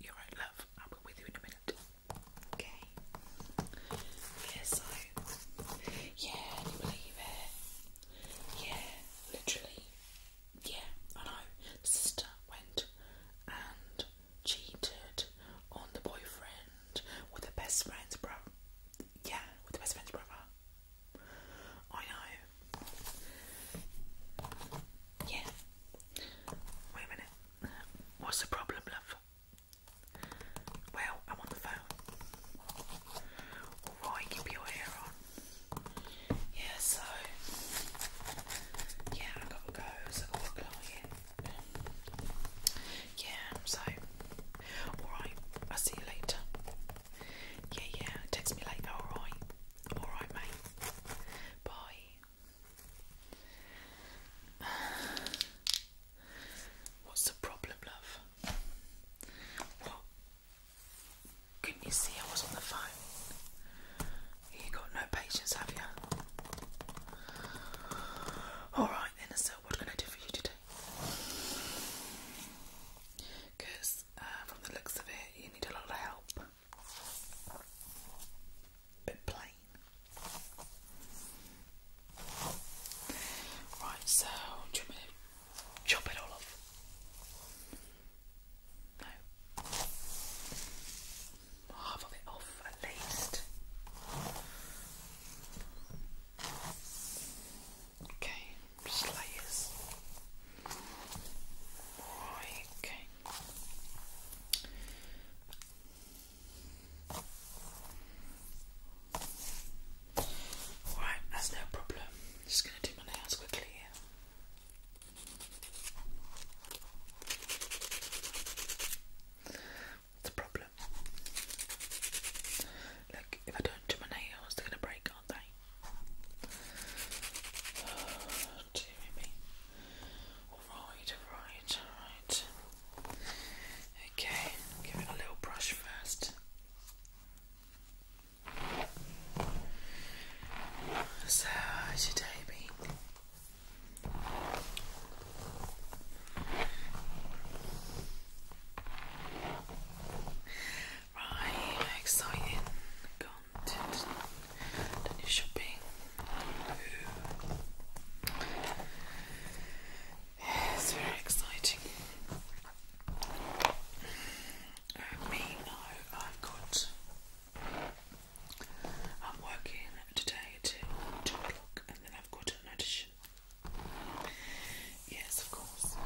You're right, love. I'll be with you in a minute. Okay. Yeah, so yeah, can you believe it? Yeah, literally. Yeah, I know. sister went and cheated on the boyfriend with the best friend's brother. Yeah, with the best friend's brother. I know. Yeah. Wait a minute. What's the problem, love? Well, I'm on the phone. Alright, keep your hair on. Yeah, so. Yeah, i got to go. So I've got a client. Yeah, so. Alright, I'll see you later. Yeah, yeah. Text me later, alright? Alright, mate. Bye. What's the problem, love? What? could you see I was on the phone? You got no patience, have you? Alright then, so what can I do for you today? because uh, from the looks of it, you need a lot of help. Bit plain. Right, so chop it all off? No. Half of it off at least. Okay just Right, that's no problem. Just gonna do my nails quickly here. The problem Look, if I don't do my nails, they're gonna break, aren't they? Oh, dear me. Okay, give it a little brush first. So, how's your day Right, exciting content. Done your shopping. Ooh. It's very exciting. me no, I've got. I'm working today till two o'clock, and then I've got an audition. Yes, of course.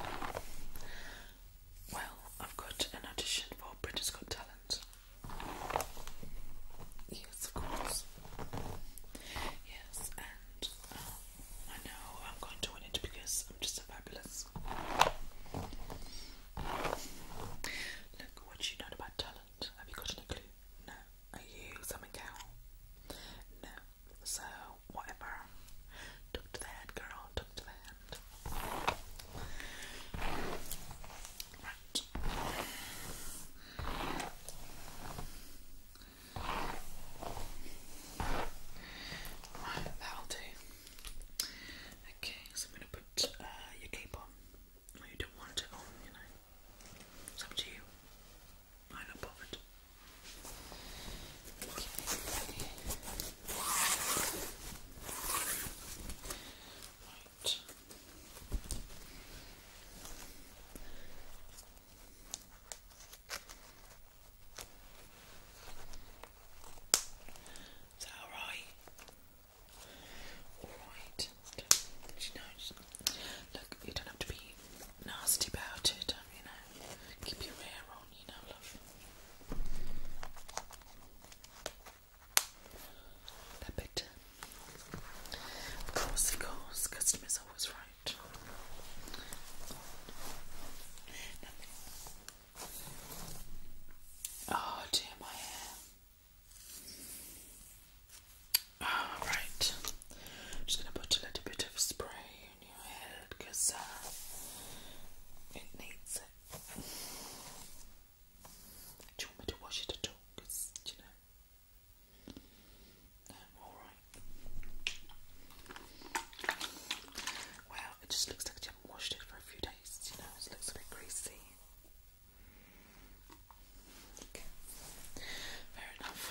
Well, I've got an audition for Britain's Got Talent. Yes, of course. Yes, and um, I know I'm going to win it because I'm just so fabulous. Look, what do you know about talent? Have you got any clue? No. Are you something cow? No. So, whatever. Tuck to the head, girl. Tuck to the head. Right. that'll do. Okay, so I'm going to put uh, your cape on. you don't want it on, you know. It's up to you. Line Is that alright? Alright. you Look, you don't have to be nasty about it, um, you know. Keep your hair on, you know, love. Of course, of course, customer's always right. Oh dear, my hair. Alright, I'm just going to put a little bit of spray on your head because uh, it needs it. Do you want me to wash it at all? Because, you know, alright. Well, it just looks like you haven't washed it for a few days, you know, it looks a bit greasy. Okay, fair enough.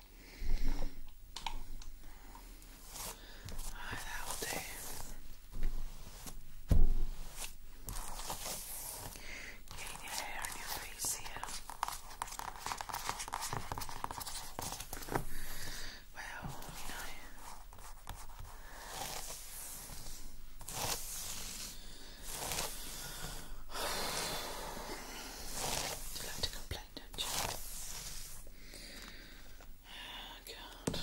Alright, that will your hair your face here. Well, you know. you like to complain? I don't you? Oh,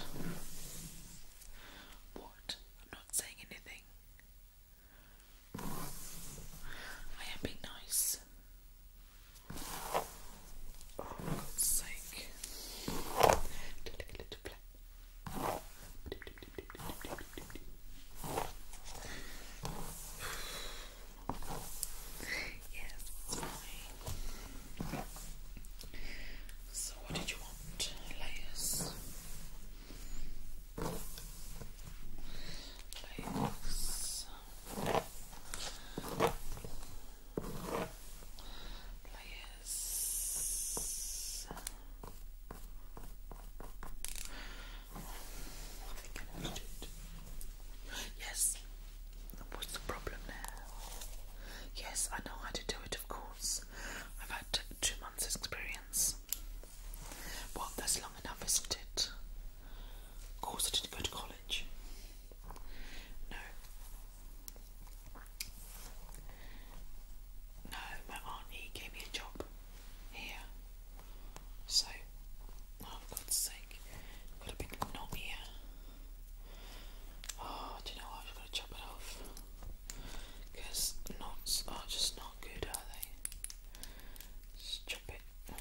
what? I'm not saying anything. I am being nice. Oh, for God's sake. Take a little play. Yes. So, what did you want? Layers. Layers. Layers. Yes, What's the problem now? Yes, I know how to do it, of course. I've had two months' experience. Well, that's long enough, isn't it? Of course, I didn't go to college. No. No, my auntie gave me a job here. So for oh, God's sake. got a big knot here. Oh, do you know what? got to chop it off. knots are just not good, are they? Just chop it. There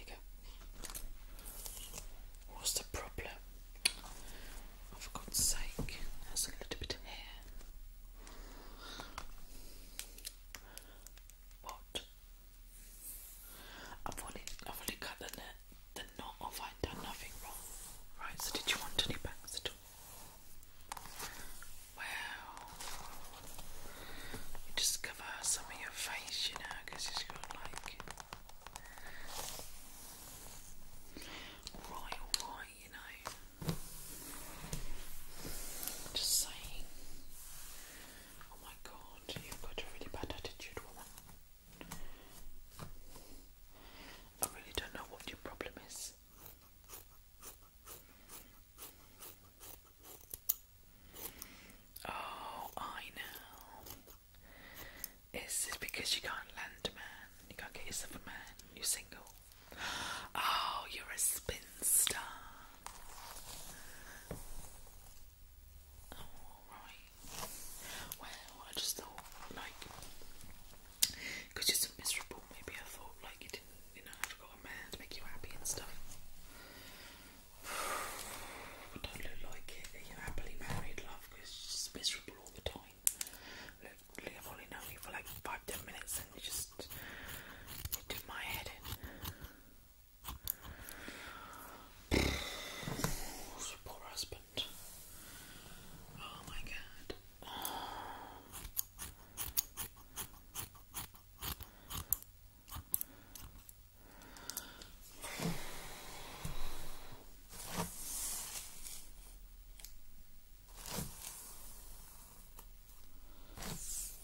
you go. What's the problem? Oh, for God's sake. That's a little bit of hair. What I've only, I've only cut the, knot off, I've done nothing wrong. Right, so did you want any bangs at all? Well, just cover some of your face, you know, it's got like. Right, alright, you know. Just saying. Oh my god, you've got a really bad attitude, woman. I really don't know what your problem is. Oh, I know. Is this because you can't land a man? You can't get yourself a man? You're single? Oh, you're a spinster. Well, I just thought, like, you're so miserable, maybe I thought, like, you didn't, you know, I've got a man to make you happy and stuff. But don't look like it. You're happily married, love, because miserable all the time. Look, I've only known you for like five, ten minutes, and you just you my head Poor husband. Oh my god.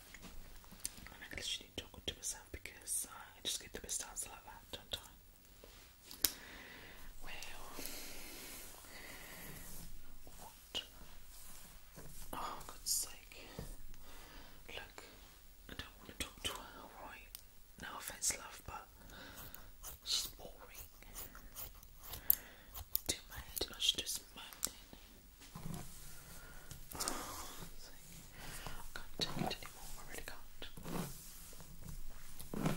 and I literally talk to myself because uh, I just get the best answer like that, don't I? Well, what? Oh, God's sake. Look, I don't want to talk to her, alright? No offense, love, but she's boring. Do my head, I I can't take it anymore, I really can't. got tangled.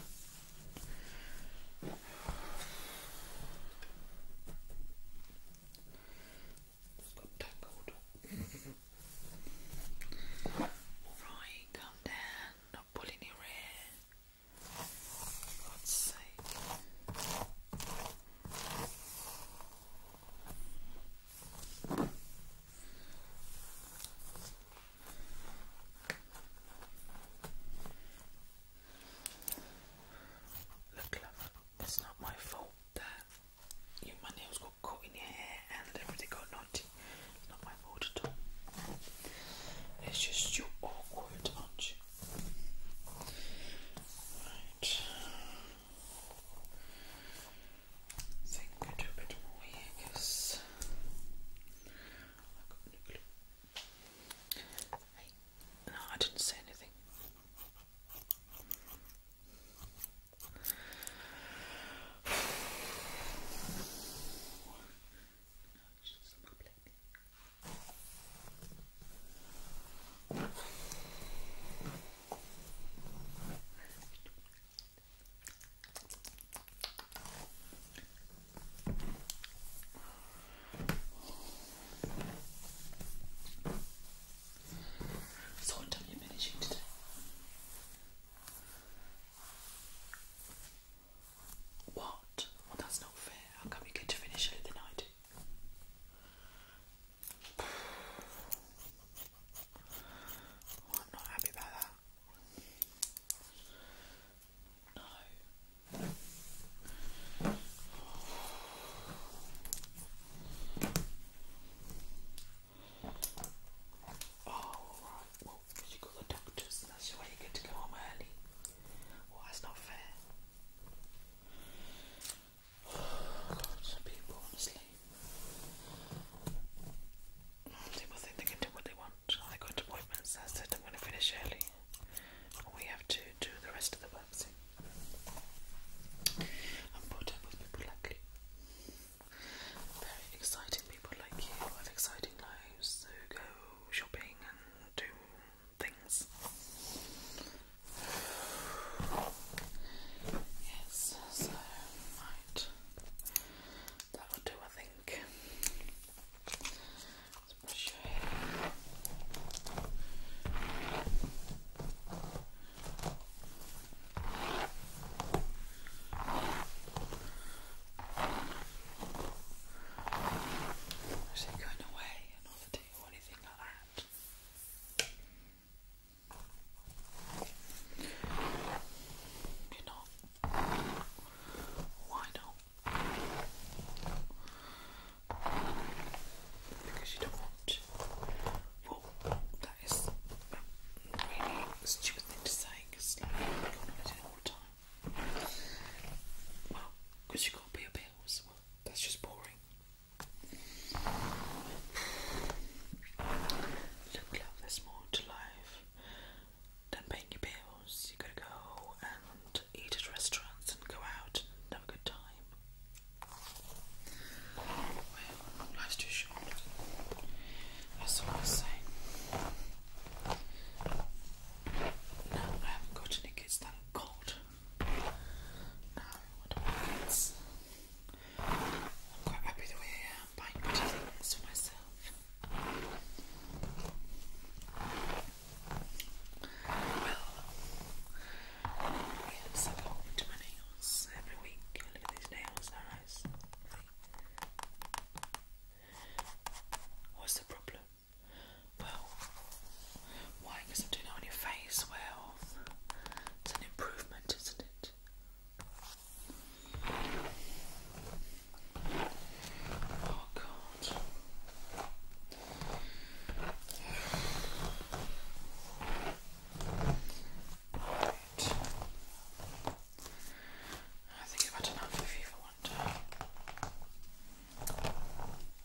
Alright, calm down, not pulling your hair. For God's sake. Look, love, it's not my fault that you, nails got caught in your hair and everything got naughty. not my fault at all. It's just you awkward, aren't you? Right. So I can go do a bit more here i got no clue. no, I didn't say anything. So what time are you finishing today? What? Well that's not fair. How can we get to finish early than I I'm not happy about that. No. Oh, right. Well, you got the doctors, that's why you get to go home early. Well, that's not fair. Lots of people, honestly. People think they can do what they want. I got appointments. I said I'm going to finish early. We have to do the rest of the work soon. I'm people like you. Very exciting people like you have exciting lives who go shopping and do things. Yes, so That will do I think. Let's brush your it going away and holiday or anything like that? You know, why not? Because you don't want Well, that is um, really stupid thing to say because like, you can't have it all time. Well, because you can't pay your bills. Well, that's just boring. Look there's more to life than paying your bills. You gotta go and eat at restaurants and go out and have a good time. Well, life's too short. That's all I say. No, I haven't got any kids, thank God. I'm quite happy the way I am buying pretty things for myself. Well, I go my nails every week. Look at these nails, nice. What's the problem? Well, why? I'm doing it on your face. Well, health. It's an improvement, isn't it? Oh, God. I think I've had enough of you for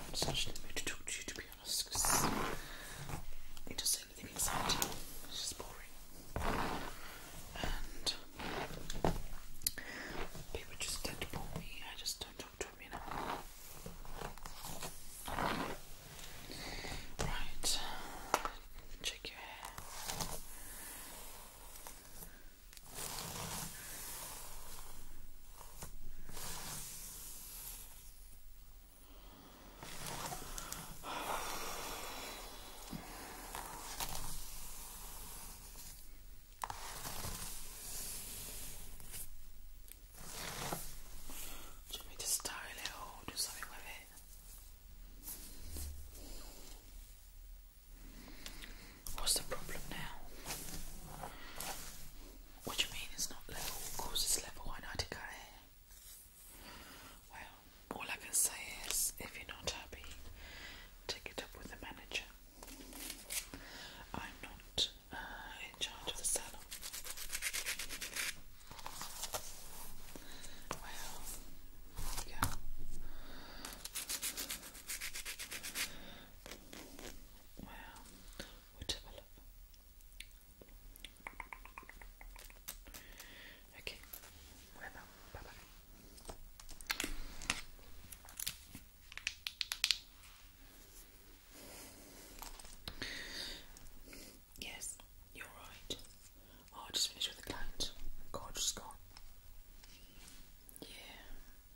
I'm not in the to talk to you, to be honest, because it doesn't say anything exciting. It's just boring. And people just tend to bore me. I just don't talk to them, you Right. Check your hair. Do you want me to style it or do something with it? What's the problem now? What do you mean it's not level? Of course it's level, why not go Well, all I can say is if you're not happy, take it up with the manager. I'm not uh, in charge of the salon. Well, yeah. Well, or develop. Okay, bueno, bye bye. Yes, you're right. Oh, I just finished with the client. God, just gone. Yeah.